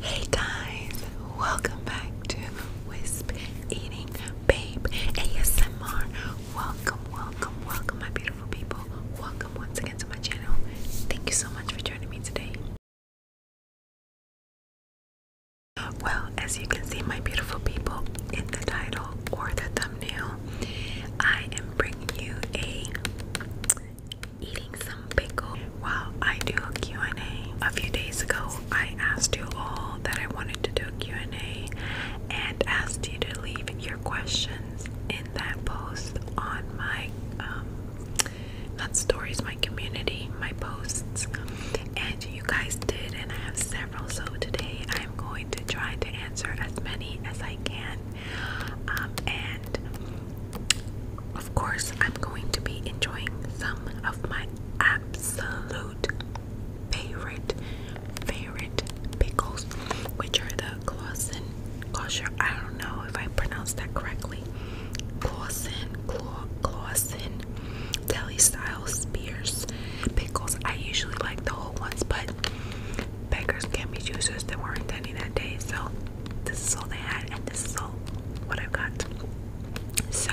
Hey guys, welcome back to Wisp Eating Babe ASMR. Welcome, welcome, welcome, my beautiful people. Welcome once again to my channel. Thank you so much for joining me today. Well, as you can see, my beautiful people, in the title or the thumbnail, I am bringing you a eating some pickle while I do a Q&A. A few days ago, I asked you all that I wanted to do a Q&A and asked you to leave your questions in that post on my, um, not stories, my community, my posts. And you guys did, and I have several. So today I am going to try to answer as many as I can. Um, and of course, I'm going to be enjoying some of my absolute favorite, favorite pickles, which are the Clausen, Clausen, I don't know if I pronounced that correctly, Clausen, Clausen, deli style spears pickles. I usually like the whole ones, but beggars can be choosers. They weren't any that day, so this is all they had, and this is all what I've got. So,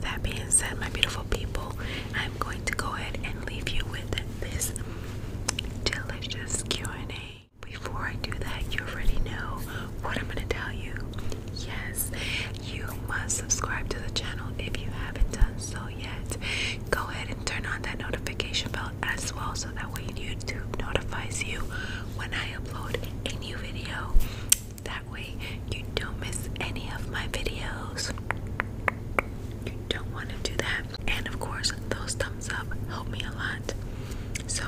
that being said, my beautiful people, I'm going to go ahead and leave you with this delicious Q&A. Before I do that, you already know what I'm going to tell you. Yes, you must subscribe to the channel if you haven't done so yet. Go ahead and turn on that notification bell as well so that way YouTube notifies you when I upload a new video. That way, you don't miss any of my videos. You don't want to do that. And of course, those thumbs up help me a lot. So,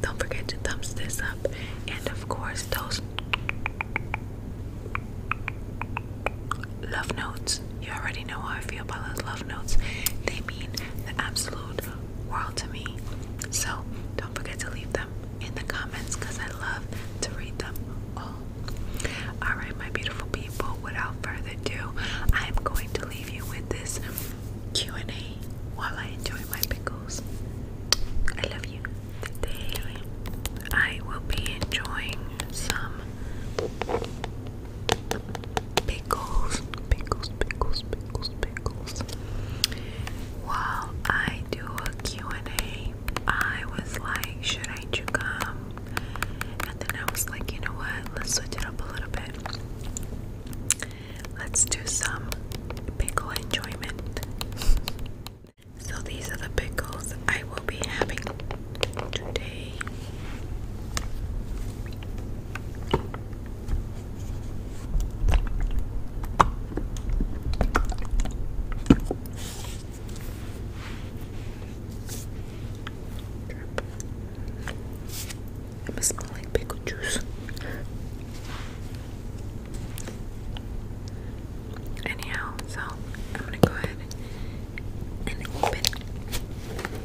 don't forget to thumbs this up. And of course, those love notes. You already know how I feel about those love notes. They mean the absolute world to me. So don't forget to leave them in the comments because I love to read them all. Alright, my beautiful people, without further ado, I am going to leave you with this Q&A while I enjoy my pickles. I love you. Today, I will be enjoying some pickles, pickles, pickles, pickles, while I do a and a was like, should I chew gum? And then I was like, you know what? Let's switch it up a little bit. Let's do some pickle enjoyment. So these are the pickles I will be having today. It must smell like pickle juice. Anyhow, so I'm gonna go ahead and open.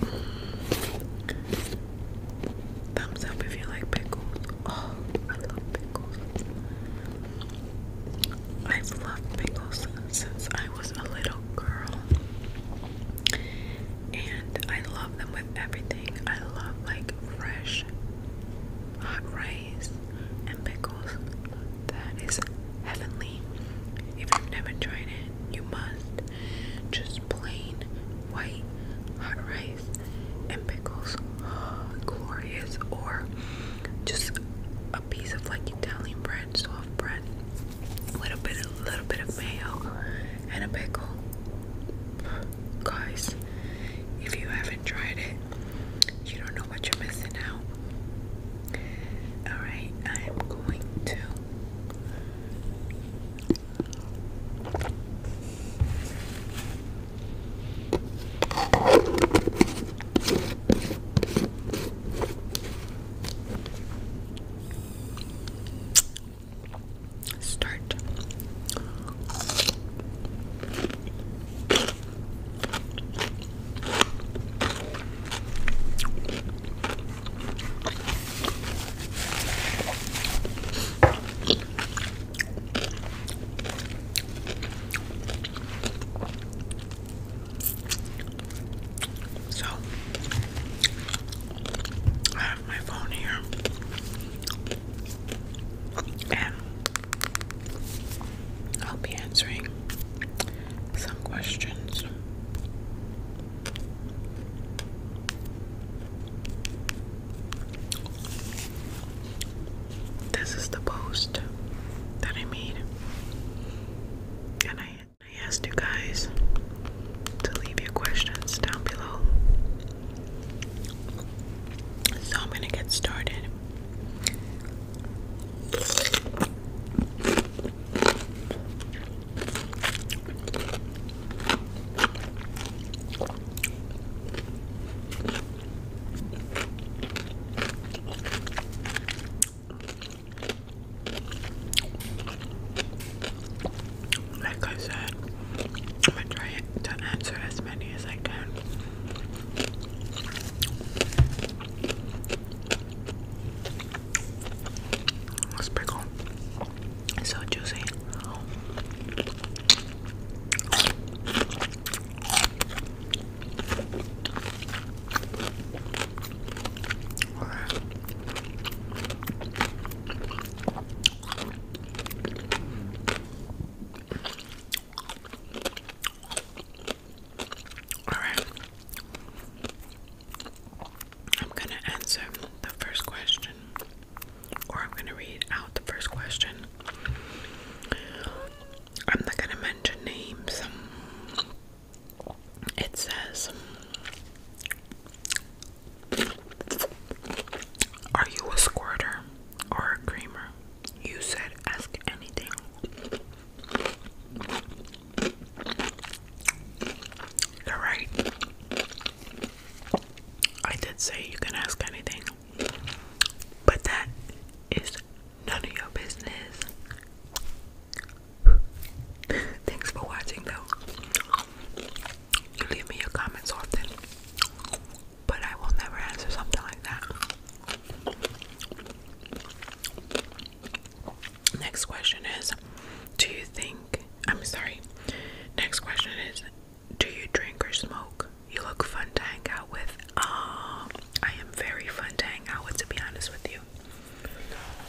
Mm. Thumbs up if you like pickles. Oh, I love pickles. I've loved pickles since I was a little girl. And I love them with everything. I love like fresh hot rice and pickles. That is heavenly. If you've never tried it, you must. Just plain white hot rice and pickles. Glorious. Or just a piece of like Italian bread, soft bread. A little bit a little bit of mayo and a pickle. Guys, if you haven't tried it, you don't know what you're missing out. Alright, I am going to Start. So I have my phone here and I'll be answering some questions this is the post that I made, and I, I asked you guys to leave your questions down below. So I'm gonna get started. Like I said, I'm gonna try to answer as many as I can. Let's pickle. So juicy. Alright. I'm going to answer the first question, or I'm going to read out the first question. I'm not going to mention names. It says, Are you a squirter or a creamer? You said ask anything. You're right. I did say you can ask anything, but that is none of your business. Thanks for watching, though. You leave me your comments often, but I will never answer something like that. Next question is Do you think I'm sorry. Next question is Do you drink or smoke? You look fun to hang out with. Ah, I am very fun to hang out with, to be honest with you.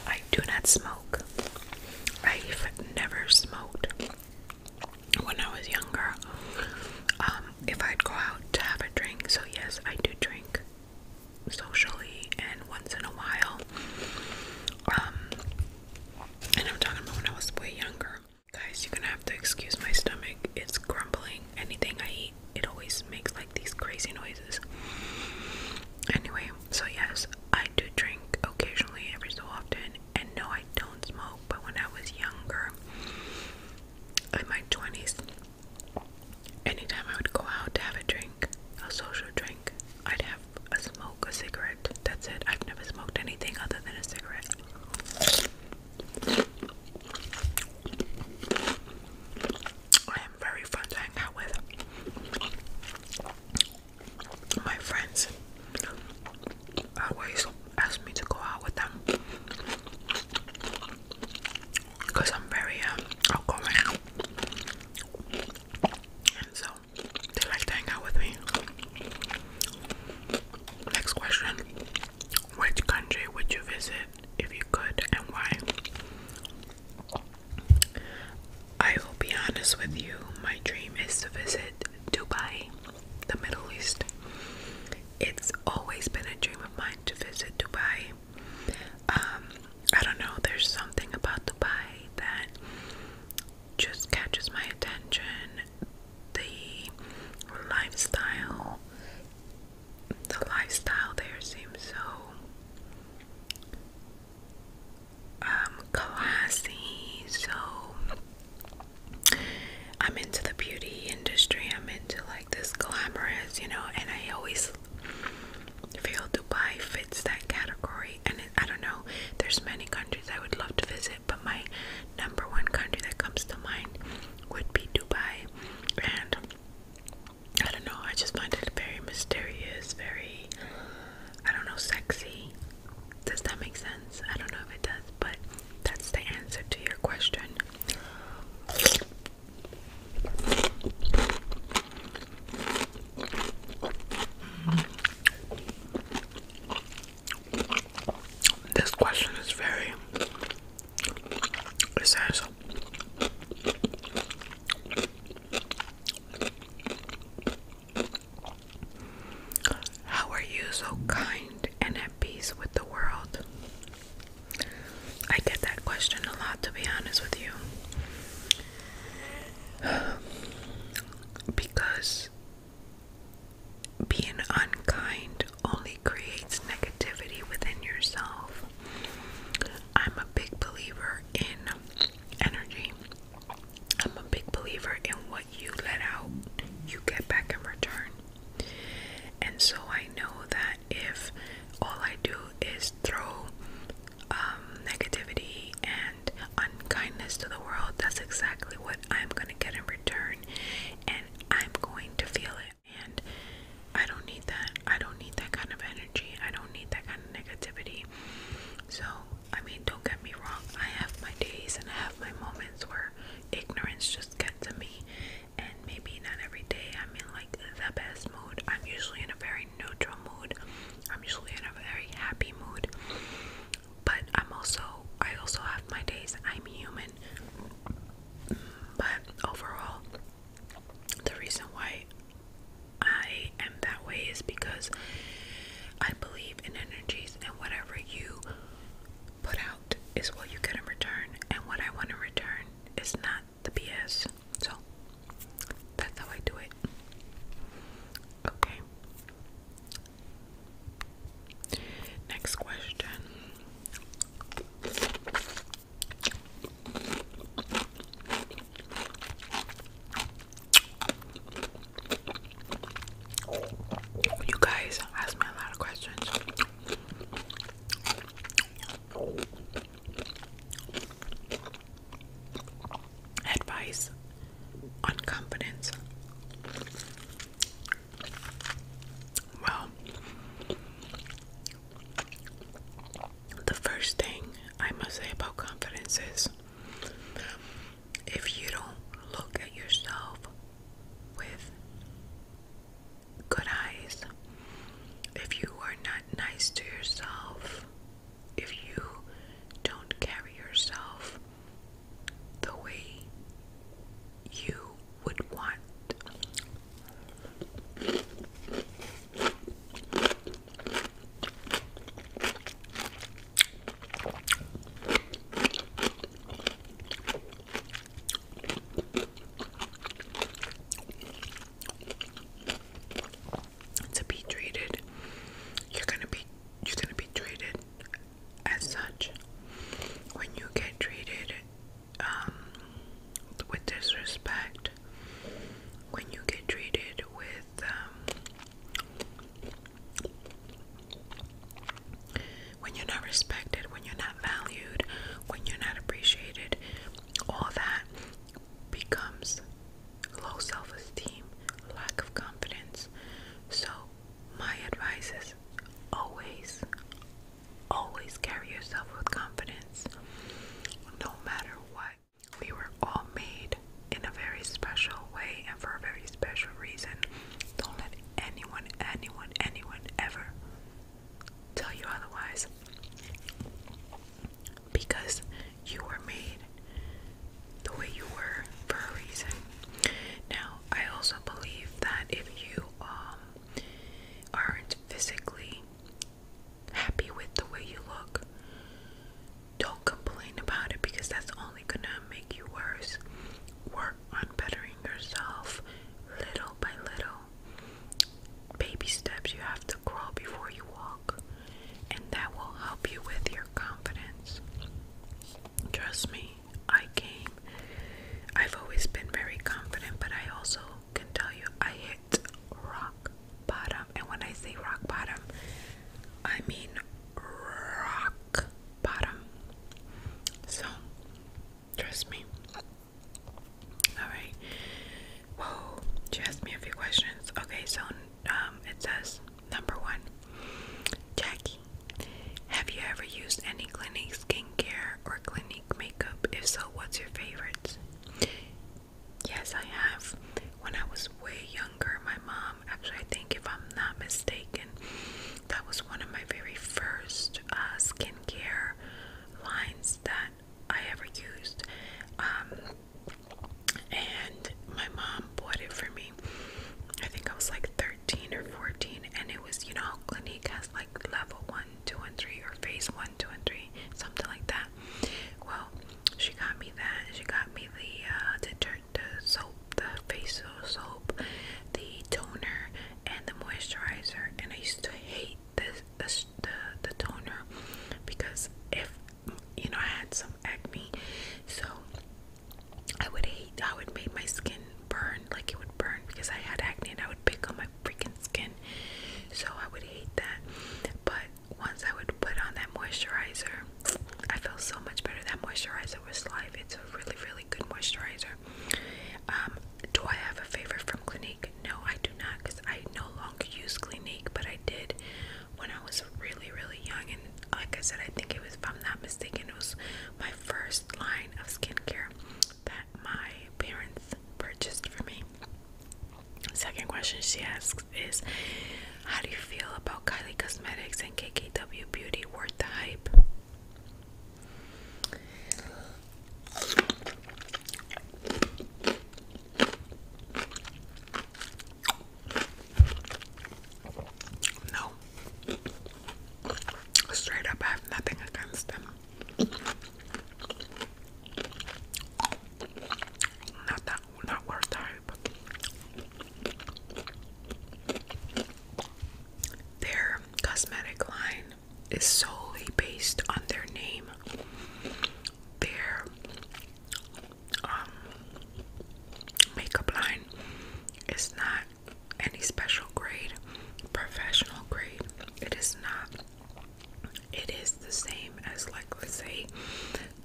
I do not smoke. I've never smoked when I was younger. Um, if I'd go out to have a drink, so yes, I do drink socially and once in a while. Um, I'm talking about when I was way younger. Guys, you're gonna have to excuse my stomach. It's grumbling. Anything I eat, it always makes like these crazy noises. Anyway, so yes, I do drink occasionally every so often. And no, I don't smoke, but when I was younger, in my 20s, anytime I would go out to have a drink, a social drink, I'd have a smoke, a cigarette. That's it. I've never smoked anything other than a cigarette. I am very fun to hang out with. My friends always ask me to go out with them because I'm very um, outgoing. And so they like to hang out with me. Next question. Which country would you visit if you could and why? I will be honest with you, my dream is to visit Dubai, the Middle East. It's always been a dream of mine to visit Dubai. Um, I don't know, there's something about Dubai that just catches my attention the lifestyle the lifestyle there seems so um, classy so I'm into the beauty industry I'm into like this glamorous you know and I always feel Dubai fits that category and I don't know, there's many countries I would love to visit, but my number one country that comes to mind would be Dubai. And I don't know, I just find it very mysterious, very, I don't know, sexy. Does that make sense? I don't know if it does, but that's the answer to your question. This question is very. It How are you so kind and at peace with the world? I get that question a lot, to be honest with you because being unkind only creates negativity within yourself. I'm a big believer in energy. I'm a big believer in what you let out, you get back in return. And so I know that if all I do is throw um, negativity and unkindness to the world, that's exactly what I'm going to get in return. And I'm going to feel it. And I don't need that. I don't need that kind of energy. I don't need that kind of negativity. So, I mean, don't get me wrong. I have my days and I have my moments where ignorance just gets to me. And maybe not every day I'm in like the best mood. I'm usually in a very neutral mood. I'm usually in a very happy mood. But I'm also I also have my days. I'm human. But overall, the reason why I am that way is because I believe in energies and whatever you put out is what you get in return and what I want to return is not the BS. So that's how I do it. Okay. Next question. You guys ask me a lot of questions advice on confidence. Well, the first thing I must say about confidence is if you don't look at yourself with good eyes, if you are not nice to yourself, if you don't carry yourself the way you would want to be treated you're gonna be you're gonna be treated as such when you get treated um, with disrespect when you get treated with um, when you're not respected when you're not valued when you're not appreciated all that becomes low self esteem, lack of confidence. So, my advice is always, always carry yourself with confidence, no matter what. We were all made in a very special way and for a very special reason. Don't let anyone, anyone, anyone ever tell you otherwise because you were made the way you were for a reason. Now, I also believe that if you um, aren't physically happy with the way you look, don't complain about it because that's only gonna make you worse. Work on bettering yourself little by little. Baby steps you have to crawl before you walk, and that will help you with your confidence. Trust me, I came. I've always been very confident, but I also can tell you I hit rock bottom. And when I say rock bottom, I mean rock bottom. So, trust me. Alright. Whoa, she asked me a few questions. Okay, so um, it says number one, Jackie. Have you ever used any Clinique skincare or Clinique makeup? If so, what's your favorite? Yes, I have. When I was way younger, my mom, actually, I think if I'm not mistaken, that was one of my very first uh, skincare lines that I ever used. Um, and my mom bought it for me. I think I was like 13 or 14, and it was, you know, Clinique has like level one, two, and three, or phase one, two, and three, something like that. Well, she got me that. She got me the uh, detergent, the soap, the facial soap, the toner, and the moisturizer. And I used to hate this, the, the the toner because if you know, I had some acne, so I would hate, I would make my skin burn, like it would burn because I had acne and I would pick on my freaking skin, so I would hate that. But once I would put on that moisturizer, I felt so much better. That moisturizer was life, it's a really, really good moisturizer. Um, do I have a favorite from Clinique? No, I do not because I no longer use Clinique, but I did when I was really, really young, and like I said, I think it was, if I'm not mistaken, it was my first line of skincare that my parents purchased for me. Second question she asks is, how do you feel about Kylie Cosmetics and KKW Beauty? Worth the hype? No. Straight up, I have nothing against them. Not that, not worth type. Their cosmetic line is solely based on their name. Their um, makeup line is not any special grade, professional grade. It is not. It is the same as, like, let's say,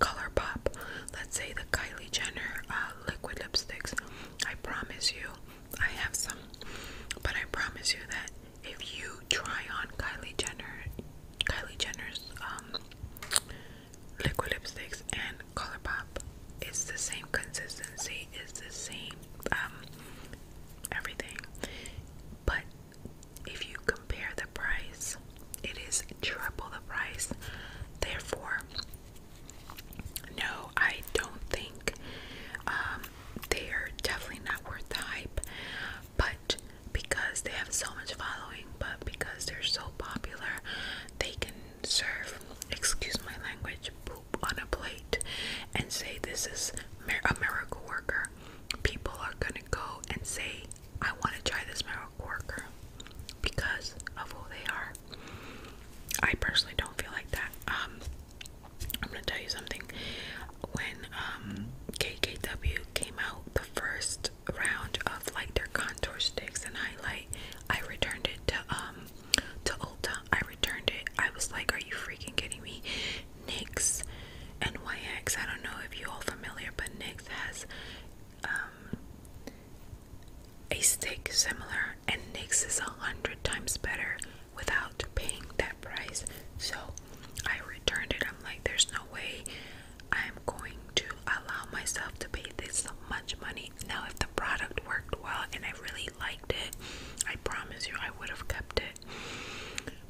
ColourPop. Let's say the Kylie Jenner uh, liquid lipsticks. I promise you, I have some, but I promise you that if you try on Kylie Jenner, Kylie Jenner's um, liquid lipsticks and Colourpop. It's the same consistency, it's the same um, everything. But if you compare the price, it is triple the price. Therefore, no, I don't think um, they are definitely not worth the hype. But because they have so much following, but because they're so popular, they can serve, excuse my language, poop on a plate and say, This is a miracle worker. People are gonna go and say, I want to try this miracle worker because of who they are. I personally don't feel like that. Um, I'm gonna tell you something. When um, KKW came out, the first round of like their contour sticks and highlight, I returned it to um to Ulta. I returned it. I was like, are you freaking kidding me? NYX and YX. I don't know if you all familiar, but NYX has um, a stick similar, and NYX is a hundred times better without paying that price. So I returned it. I'm like, there's no way I'm going to allow myself to pay this much money. Now, if the product worked well and I really liked it, I promise you I would have kept it.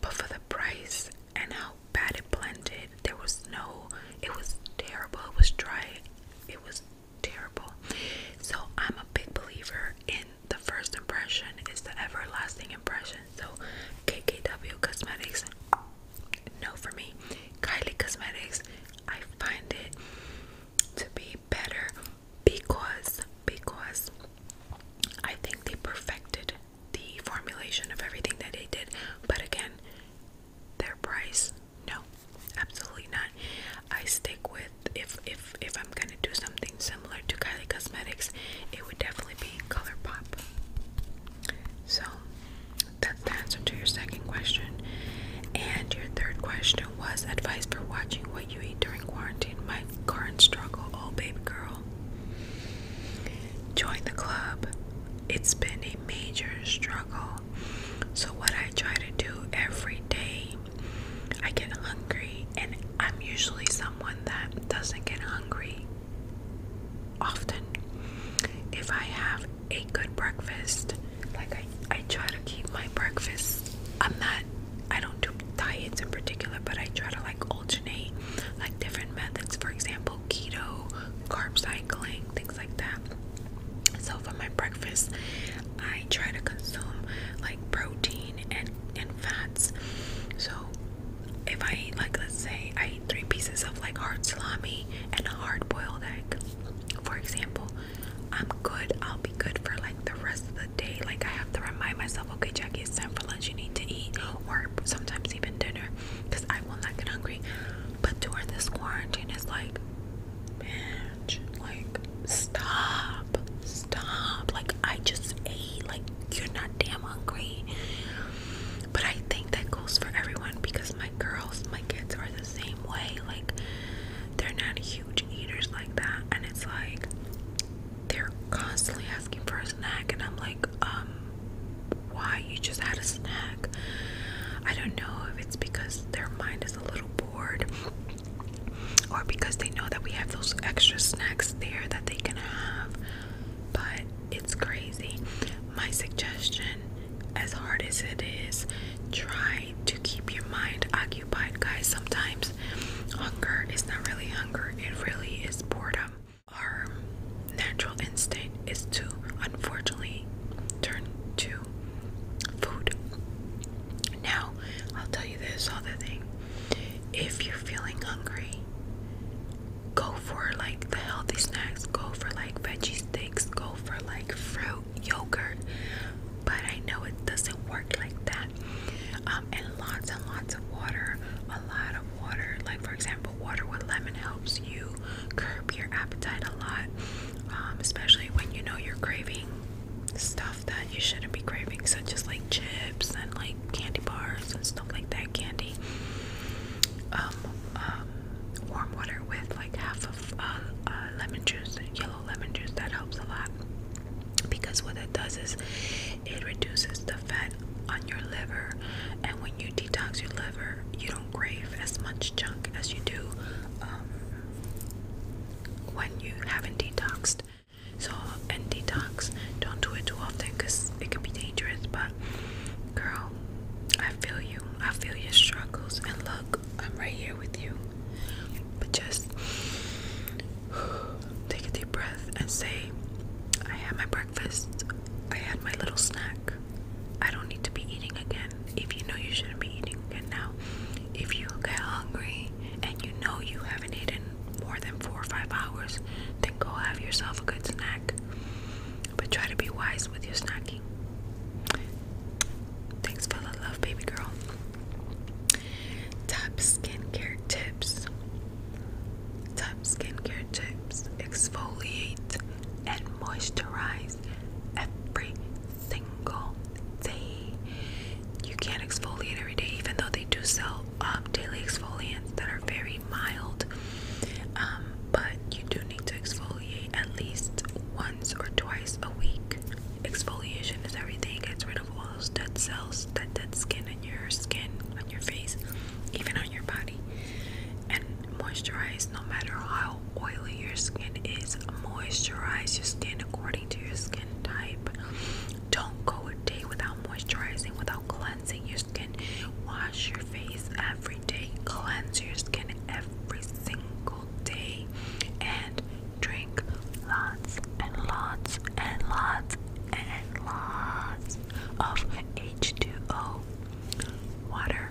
But for the price and how bad it blended, there was no, it was terrible. It was dry. It was terrible. So, I'm a big believer in the first impression is the everlasting impression. So, KKW Cosmetics no for me. Kylie Cosmetics, I find it to be better because because I think they perfected the formulation of everything that they did. But again, their price, no, absolutely not. I stick with if if if I'm gonna do something similar to Kylie Cosmetics, it would definitely be ColourPop. So that's the answer to your second question. And your third question was advice for watching what you eat during quarantine. My current struggle, oh baby girl. Join the club. It's been a major struggle. So what I try to do every day, I get hungry and I'm usually someone that doesn't get hungry often. If I have a good breakfast, like I, I try to keep my breakfast. I'm not, I don't do diets in particular, but I try to like alternate like different methods. For example, keto, carb cycling, things like that. So for my breakfast, I try to consume like protein and and fats. So if I eat like let's say I eat three pieces of like hard salami and a hard boiled egg, for example, I'm good. I'll be good for like the rest of the day. Like I have to remind myself, okay, Jackie, it's time for lunch. You need to eat, or sometimes even dinner, because I will not get hungry. But during this quarantine, it's like, bitch, like stop, stop. Like I just ate. Like you're not damn hungry. But I think that goes for everyone because my girls, my kids are the same way. Like, they're not huge eaters like that. And it's like, they're constantly asking for a snack. And I'm like, um, why? You just had a snack. I don't know if it's because their mind is a little bored or because they know that we have those extra snacks there that they can have. But it's crazy. My suggestion, as hard as it is, try to keep your mind occupied, guys. Sometimes hunger is not really hunger, it really is boredom. Our natural instinct is to unfortunately turn to food. Now, I'll tell you this other thing if you're feeling hungry, go for like the healthy snacks, go for like veggie sticks, go for like fruit, yogurt. But I know it doesn't work like that. Um, and lots and lots of water, a lot of water. Like, for example, water with lemon helps you curb your appetite a lot, um, especially when you know you're craving stuff that you shouldn't be craving, such as like chips and like candy bars and stuff like that. Candy. Um, uh, warm water with like half of uh, uh, lemon juice, yellow lemon juice. That helps a lot because what it does is it reduces the fat on your liver, and when you detox your liver, you don't crave as much junk as you do um, when you haven't detoxed. So, and detox, don't do it too often because it can be dangerous, but Girl, I feel you. I feel your struggles. And look, I'm right here with you. But just take a deep breath and say, I had my breakfast. I had my little snack. I don't need to be eating again. If you know you shouldn't be eating again now, if you get hungry and you know you haven't eaten more than four or five hours, then go have yourself a good snack but try to be wise with your snacking. Thanks for the love, baby girl. Top skincare tips. Top skincare tips exfoliate and moisturize every single day. You can't exfoliate every day, even though they do sell um, daily exfoliants that are very mild, um, but you do need to exfoliate at least once or twice a week. Exfoliation is everything, it gets rid of all those dead cells, that dead skin on your skin, on your face, even on your body. And moisturize no matter how oily your skin is, moisturize your skin according to your skin type. Don't go a day without moisturizing, without cleansing your your skin. Wash your face every day. Cleanse your skin every single day. And drink lots and lots and lots and lots of H2O water.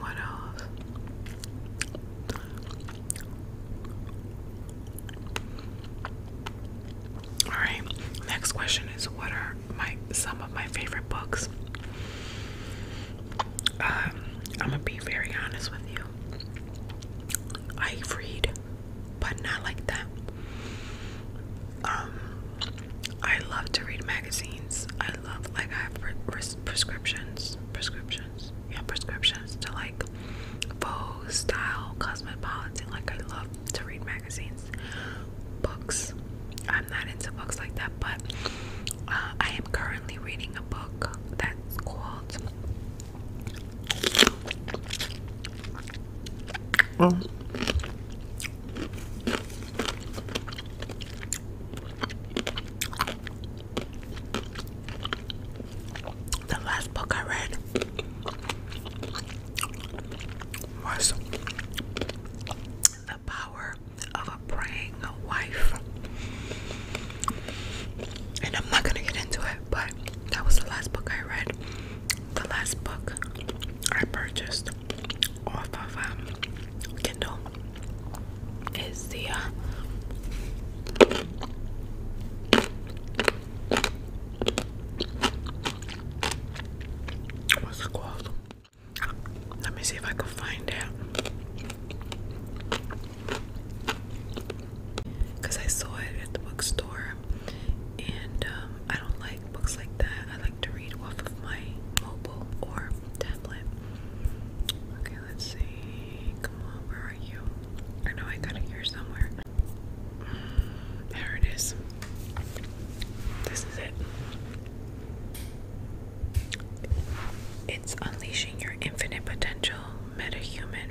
What else? All right. Next question is what are my some of my favorite books? Um, I'm gonna be very honest with you. I read, but not like that. Um, I love to read magazines. I love like I have prescriptions, prescriptions and prescriptions to like faux style cosmopolitan. Like I love to read magazines, books. I'm not into books like that, but uh, I am currently reading a book that's called. The last book I read was The Power of a Praying Wife. And I'm not gonna get into it, but that was the last book I read. The last book I purchased off of um, Kindle is the uh, what's it called? Let me see if I can find it. Cause I saw it at the bookstore, and um, I don't like books like that. I like to read off of my mobile or tablet let's see. Come on, where are you? I know I got it here somewhere. Mm, there it is. This is it. It's Unleashing Your Infinite Potential Meta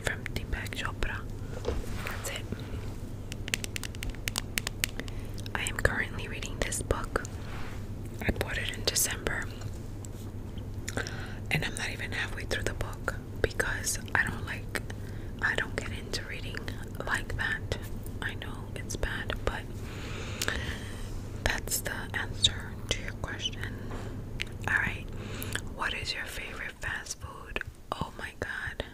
from Deepak Chopra. That's it. I am currently reading this book. I bought it in December. And I'm not even halfway through the book because I don't like, I don't get into reading like that. I know it's bad, but that's the answer to your question. Alright, what is your favorite fast food? Oh my god.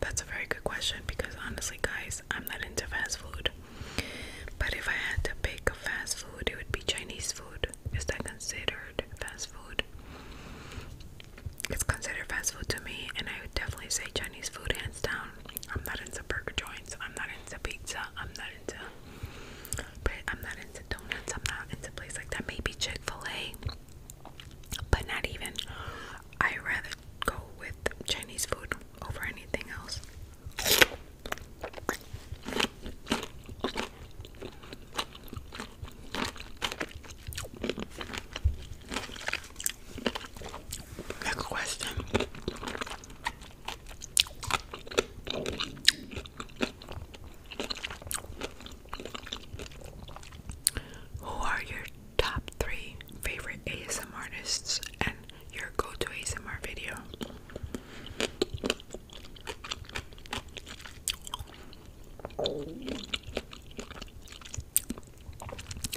That's a very good question because honestly, guys, I'm not into fast food. But if I had to pick a fast food, it would be Chinese food. Is that considered fast food? It's considered fast food to me, and I would definitely say Chinese food hands down. I'm not into burger joints, I'm not into pizza, I'm not into I'm not into donuts, I'm not into places like that. Maybe Chick-fil-A, but not even. I rather go with Chinese food over anything else. Next question. Who are your top three favorite ASM artists your go-to ASMR video.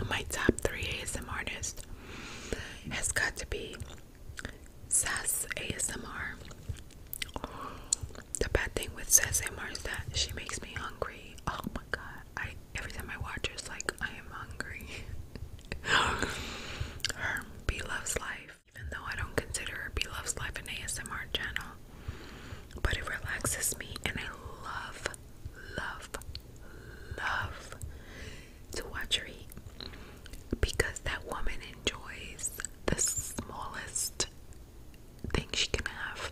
My top three ASM artists has got to be Sass ASMR. The bad thing with Sass ASMR is that she makes me hungry. Oh my god! I every time I watch it's like I am hungry. her Be Life, even though I don't consider her Be Loves Life an ASMR channel, but it relaxes me and I love, love, love to watch her eat because that woman enjoys the smallest thing she can have.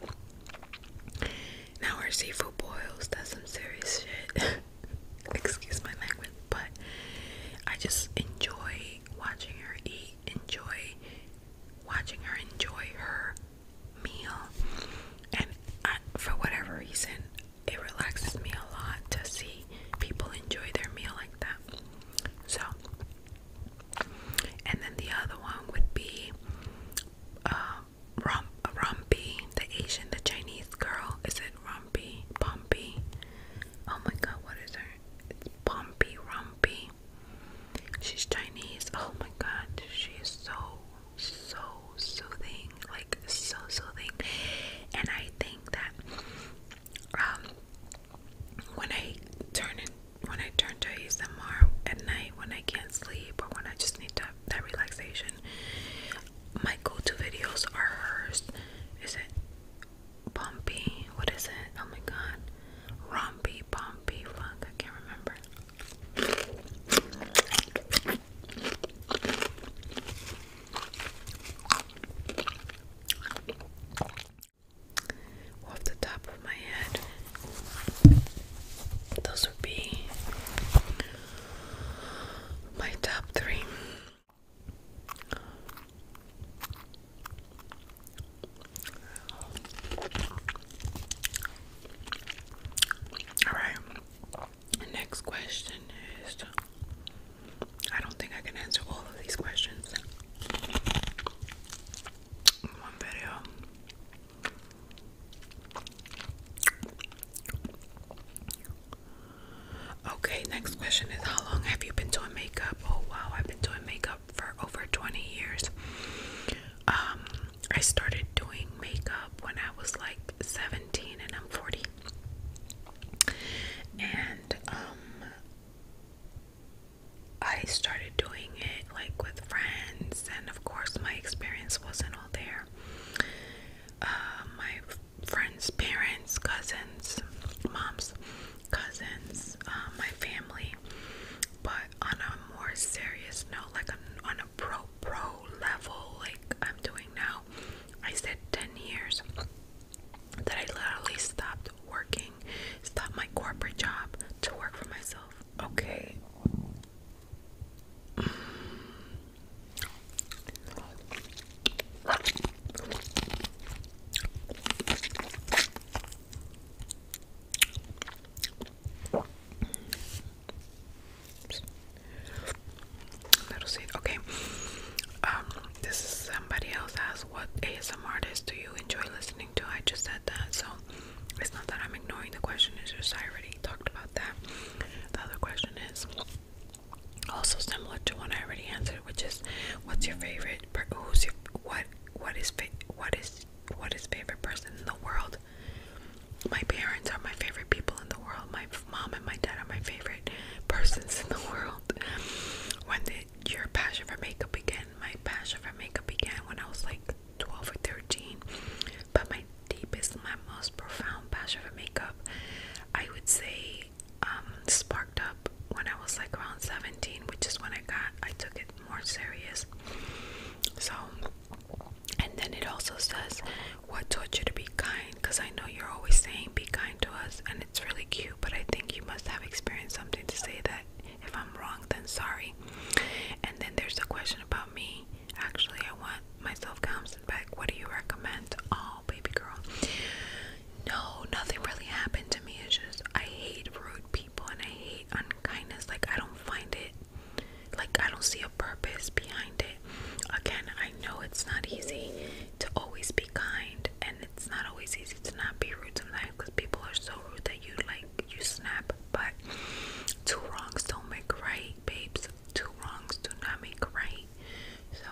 Now our seafood boils, that's some serious shit. excuse my language, but I just enjoy watching her eat, enjoy watching her enjoy her meal, and for whatever reason, it relaxes me a lot to see people enjoy their meal like that. So, and then the other one would be uh, Rom Rompi, the Asian, the Chinese girl. Is it Rumpy, Pumpy. Oh my god, what is her? It's Pumpy Rumpy. She's Chinese. Oh my god, she is so, so soothing. Like, so soothing. And I think that, um, when I turn in, when I turn to ASMR at night, when I can't sleep, or when I just need to, that relaxation, my go-to videos are hers. Is it Bumpy? What is it? Oh my god. Rompy, Bumpy, fuck, I can't remember. Off the top of my head, those would be my top three. All right. Next question is I don't think I can answer all of these questions in one video. Okay, next question is how long have you been doing makeup? Oh wow, I've been doing makeup for over 20 years. Um, I started doing makeup when I was like 17 and I'm 40. And um, I started doing it like with friends and of course my experience wasn't all there. Uh, my friends' parents, cousins, mom's cousins, um, my family. But on a more serious note, like on a pro pro level, like I'm doing now, I said 10 years that I literally stopped working, stopped my corporate job to work for myself. Okay. Mm. Little seed. Okay. Um, this is somebody else asked what ASMR artists do you enjoy listening to? I just said that, so it's not that I'm ignoring the question, it's just I already talked about that. The other question is also similar to one I already answered, which is, what's your favorite? who's your what? What is what is what is favorite person in the world? My parents are my favorite people in the world. My mom and my dad are my favorite persons in the world. When did your passion for makeup begin? My passion for makeup began when I was like 12 or 13. But my deepest, my most profound passion for makeup I would say um, sparked up when I was like around 17, which is when I got I took it more serious. So, and then it also says, "What taught you to be kind?" Because I know you're always saying, "Be kind to us," and it's really cute. But I think you must have experienced something to say that. If I'm wrong, then sorry. And then there's a question about me. Actually, I want myself comes back. What do you recommend? Oh, baby girl. No, nothing really happened to me. It's just I hate rude people and I hate unkindness. Like I don't find it. Like I don't see a purpose behind it. Again, I know it's not easy to always be kind, and it's not always easy to not be rude sometimes because people are so rude that you like you snap. But two wrongs don't make right, babes. Two wrongs do not make right. So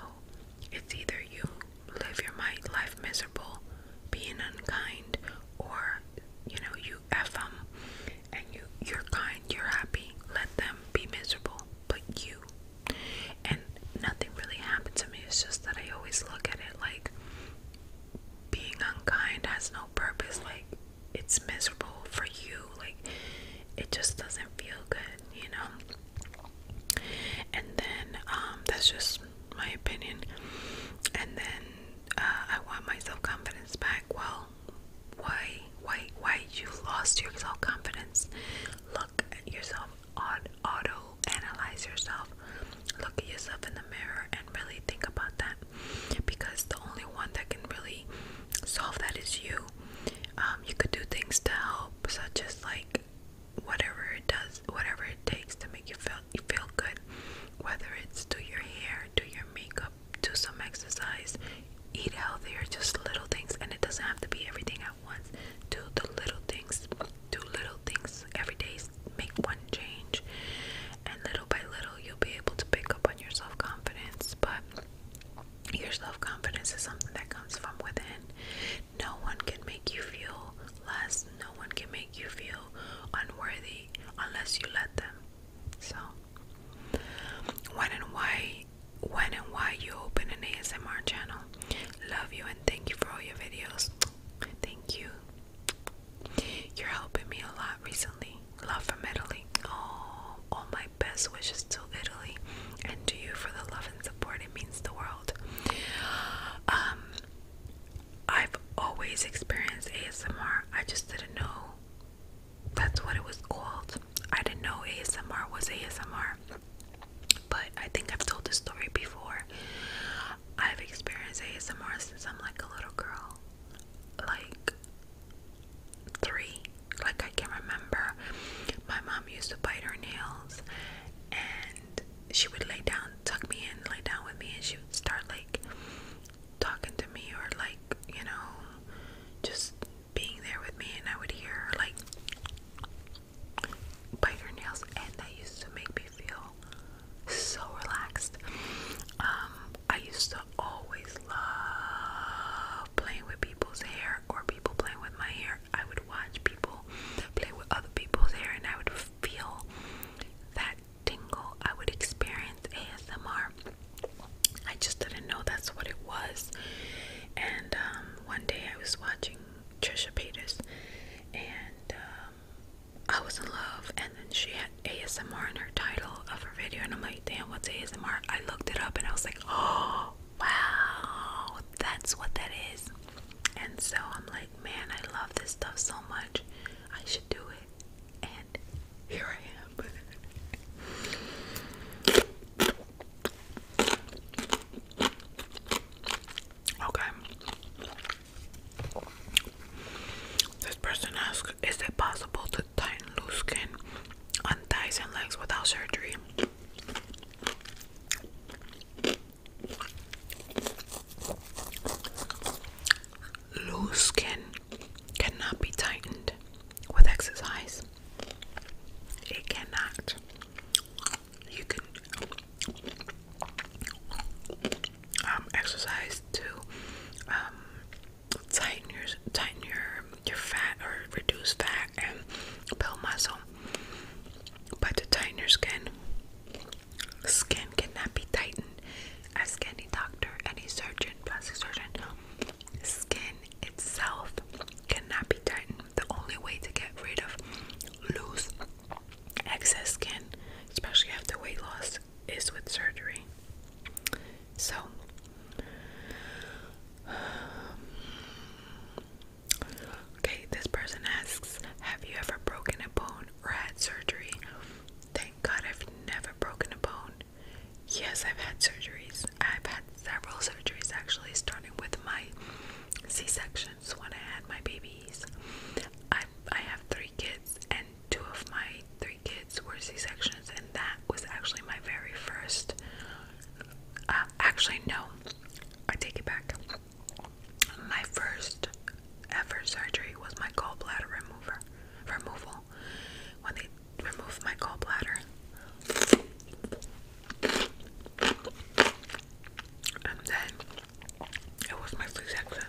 it's either you live your life miserable, being unkind, or you know you f and you you're kind, you're happy. Let them be miserable, but you. And nothing really happened to me. It's just that I always look at it like being unkind has no purpose. Like it's miserable for you. Like it just doesn't feel good you know. And then um, that's just my opinion. And then uh, I want my self confidence back. Well, why why why you lost your self confidence? Look at yourself auto analyze yourself. Look at yourself in the mirror and really think about that because the only one that can really so if that is you. Um, you could do things to help, such as like whatever it does, whatever it takes to make you feel feel good. Whether it's do your hair, do your makeup, do some exercise, eat healthier, just little things, and it doesn't have to be everything at once. Do the little things, do little things every day. Make one change, and little by little, you'll be able to pick up on your self confidence. But your self confidence is something that comes from within. No one can make you feel less, no one can make you feel unworthy unless you let them. So, when and why, when and why you open an ASMR channel. Love you and thank you for all your videos. Thank you. You're helping me a lot recently. Love from Italy. Oh, oh my best wishes to Italy and to you for the love and support. It means the world. Um, I've always experienced ASMR. I just didn't know that's what it was called. I didn't know ASMR was ASMR. But I think I've told this story before. I've experienced ASMR since I'm like a little girl. Like three. Like I can remember, my mom used to bite her nails, and she would lay down, tuck me in, lay down with me, and she would start like talking to me or like you know, just being there with me, and I would hear like bite her nails, and that used to make me feel so relaxed. Um, I used to always love playing with people's hair or people playing with my hair. I would watch people play with other people's hair and I would feel that tingle. I would experience ASMR. I just didn't know that's what it was. And um, one day I was watching Trisha Paytas and um, I was in love and then she had ASMR in her title of her video and I'm like, damn, what's ASMR? I looked it up and I was like, oh, wow, that's what that is. And so I'm like, man, I love this stuff so much. I should do it. And here I am. okay. This person asks, is it possible to tighten loose skin on thighs and legs without surgery. Loose skin cannot be tightened with exercise. It cannot. You can um, exercise to um, tighten your tighten your your fat or reduce fat and build muscle. But to tighten your skin, skin cannot be tightened. Ask any doctor, any surgeon, plastic surgeon. Skin itself cannot be tightened. The only way to get rid of loose excess skin, especially after weight loss, is with surgery. So Okay, this person asks, have you ever broken a bone or had surgery? Thank God I've never broken a bone. Yes, I've had surgeries. I've had several surgeries actually, starting with my C-sections when I had my babies. I I have three kids and two of my three kids were C-sections and that was actually my very first uh, actually, no. I take it back. My first ever surgery was my gallbladder remover removal. When they removed my gallbladder, and then it was my flu section.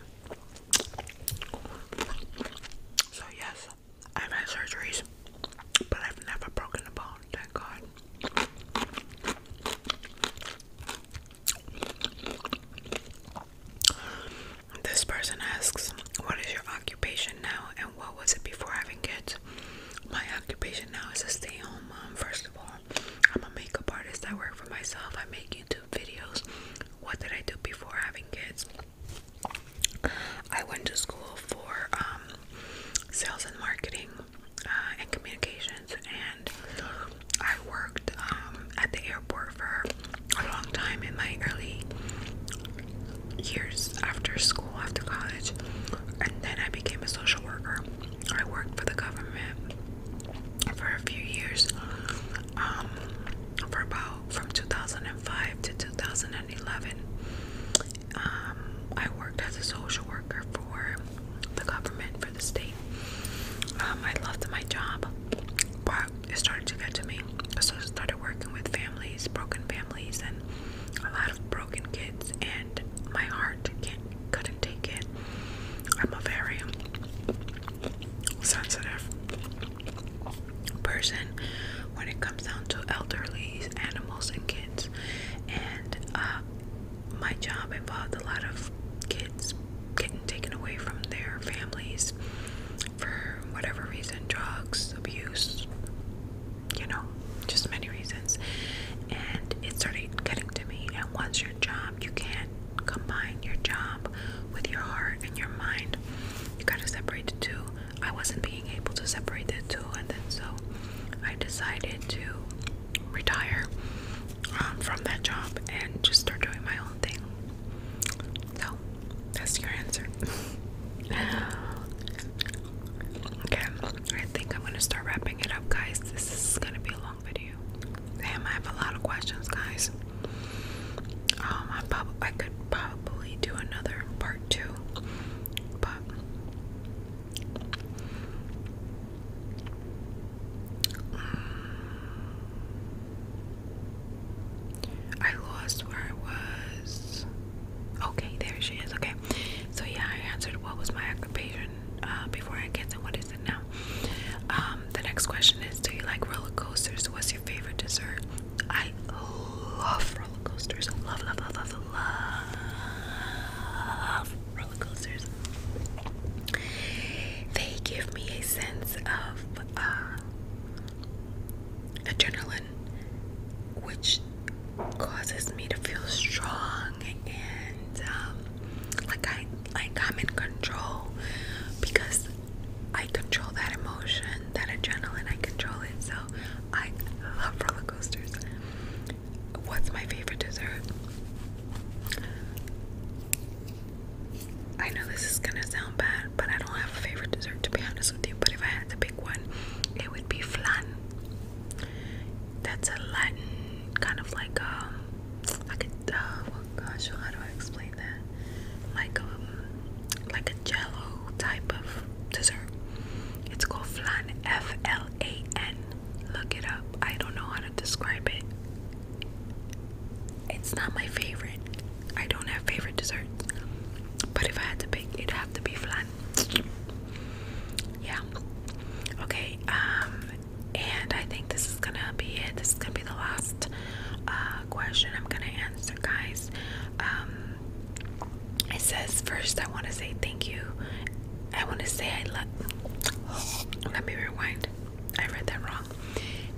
So yes, I've had surgeries, but I've never broken a bone, thank God. This person asks, What is your occupation now and what was it before having kids? My occupation now is a stay home mom. First of all, I'm a makeup artist, I work for myself, I make YouTube videos. What did I do before having kids? I went to school for um, sales and marketing uh, and communications, and I worked um, at the airport for a long time in my early years after school, after college, and then I became a social worker. I worked for the government for a few years, um, for about from 2005 to 2011, um, I worked as a social worker for the government for the state. Um, I loved my job, but it started to get to me. So I started working with families, broken families, and a lot of broken kids. And my heart couldn't take it. I'm a very sensitive person when it comes down to elderly, animals, and kids. And uh, my job involved a lot of kids getting taken away from their families for whatever reason drugs, abuse, you know, just many reasons. And it started getting to me. And once your job, you can't combine your job with your heart and your mind. You gotta separate the two. I wasn't being able to separate the two, and then so I decided to retire um, from that job and just start doing my own thing. So that's your answer. okay, I think I'm gonna start wrapping it up, guys. This is gonna be a long video. Damn, I have a lot of questions, guys. Um, I could probably do another part two but mm, I lost where I was. Okay, there she is. Okay, so yeah, I answered what was my occupation uh, before I get and what is it now. Um, the next question is, do you like roller coasters? What's your favorite dessert? I love roller coasters. Love, love, love, love, love roller coasters. They give me a sense of uh, adrenaline, which causes me to feel strong and um, like I like I'm in control because I control that emotion that adrenaline, I control it. So I love roller coasters. What's my favorite dessert? I know this is gonna sound bad, but I don't have a favorite dessert to be honest with you. But if I had to pick one, it would be flan. That's a Latin kind of like um, like a uh, gosh, how do I explain that? Like um, like a jello type of dessert. It's called flan, F L A N. Look it up. I don't know how to describe it. It's not my favorite. I don't have favorite desserts. But if I had to pick, it'd have to be flan. Yeah. Okay. Um and I think this is gonna be it. This is gonna be the last uh, question I'm gonna answer, guys. Um it says first I want to say thank you. I want to say I love. Let me rewind. I read that wrong.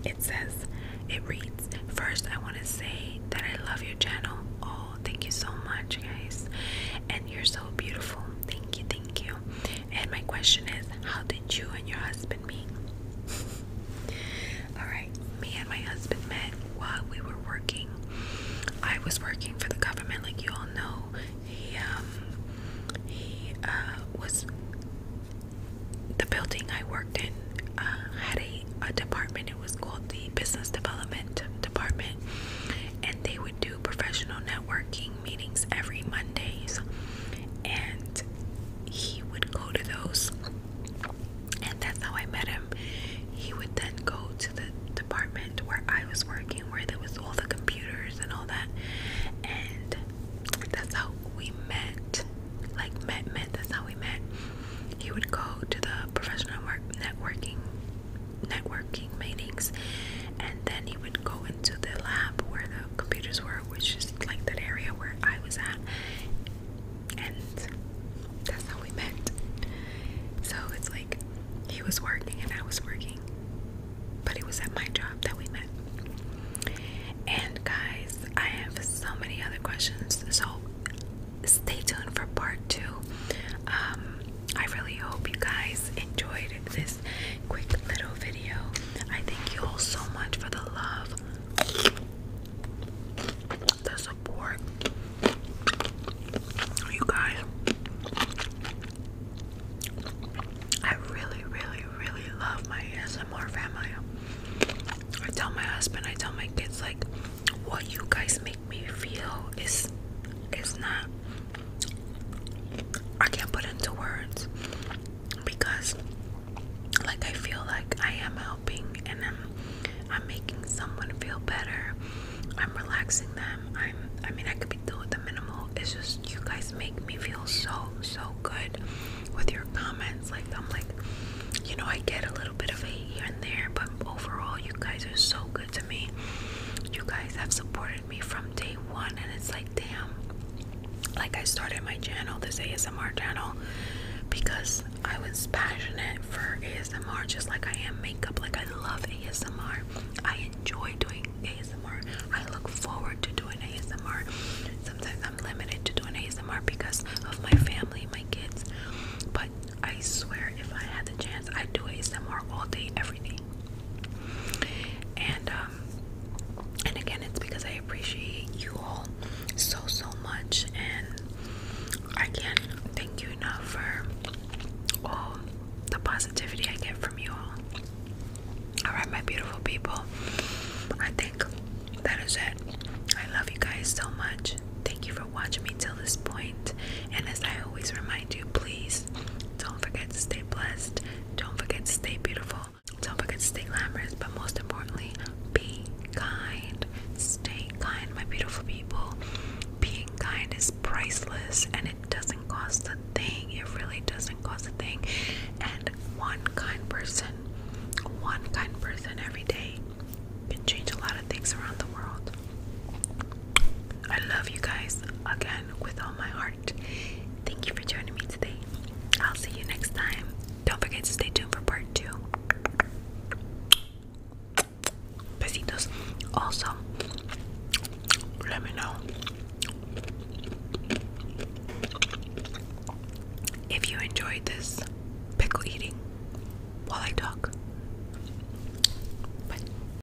It says it reads first I want to say that I love your channel. Oh, thank you so much, guys. And you're so beautiful. Thank you, thank you. And my question is, how did you and your husband meet? All right, me and my husband met while we were working. I was working for the government, like you all know. He um he uh was the building I worked in uh, had a, a department. It was called the business development department, and they would do professional networking meetings every Mondays. And he would go to those and that's how I met him. He would then go to the department where I was working, where there was all the computers and all that, and that's how we met. Like met, met. That's how we met. He would go to the professional work networking, networking meetings, and then he would go into the lab where the computers were, which is like that area where I was at and that's how we met. So it's like he was working and I was working, but it was at my job that we met. And guys, I have so many other questions, so stay tuned for part two. Um, I really hope you guys enjoyed this quick little video. I thank you all so much for the love, the support you guys I really really really love my ASMR family I tell my husband I tell my kids like what you guys make me feel is is not I can't put into words because like I feel like I am out and I'm I'm making someone feel better. I'm relaxing them. I'm I mean I could be doing the minimal. It's just you guys make me feel so so good with your comments. Like I'm like you know I get a little bit of hate here and there, but overall you guys are so good to me. You guys have supported me from day one and it's like damn like I started my channel, this ASMR channel, because I was passionate for ASMR just like I am makeup. Like I love ASMR. I enjoy doing ASMR. I look forward to doing ASMR. Sometimes I'm limited to doing ASMR because of my family, my kids. But I swear if I had the chance I'd do ASMR all day, every day. And um, and again it's because I appreciate you all so so much and I can't thank you enough for all the positivity I get from you all. Alright, my beautiful people. I think that is it. I love you guys so much. Thank you for watching me till this point. And as I always remind you, please don't forget to stay blessed. Don't forget to stay beautiful. Don't forget to stay glamorous. But most importantly, be kind. Stay kind, my beautiful people. Being kind is priceless and it doesn't cost a thing. It really doesn't cost a thing. And one kind person, one kind person every day can change a lot of things around the world. I love you guys again with all my heart. Thank you for joining me today. I'll see you next time. Don't forget to stay tuned for part two. Besitos. Also, let me know if you enjoyed this pickle eating while I talk. Bye.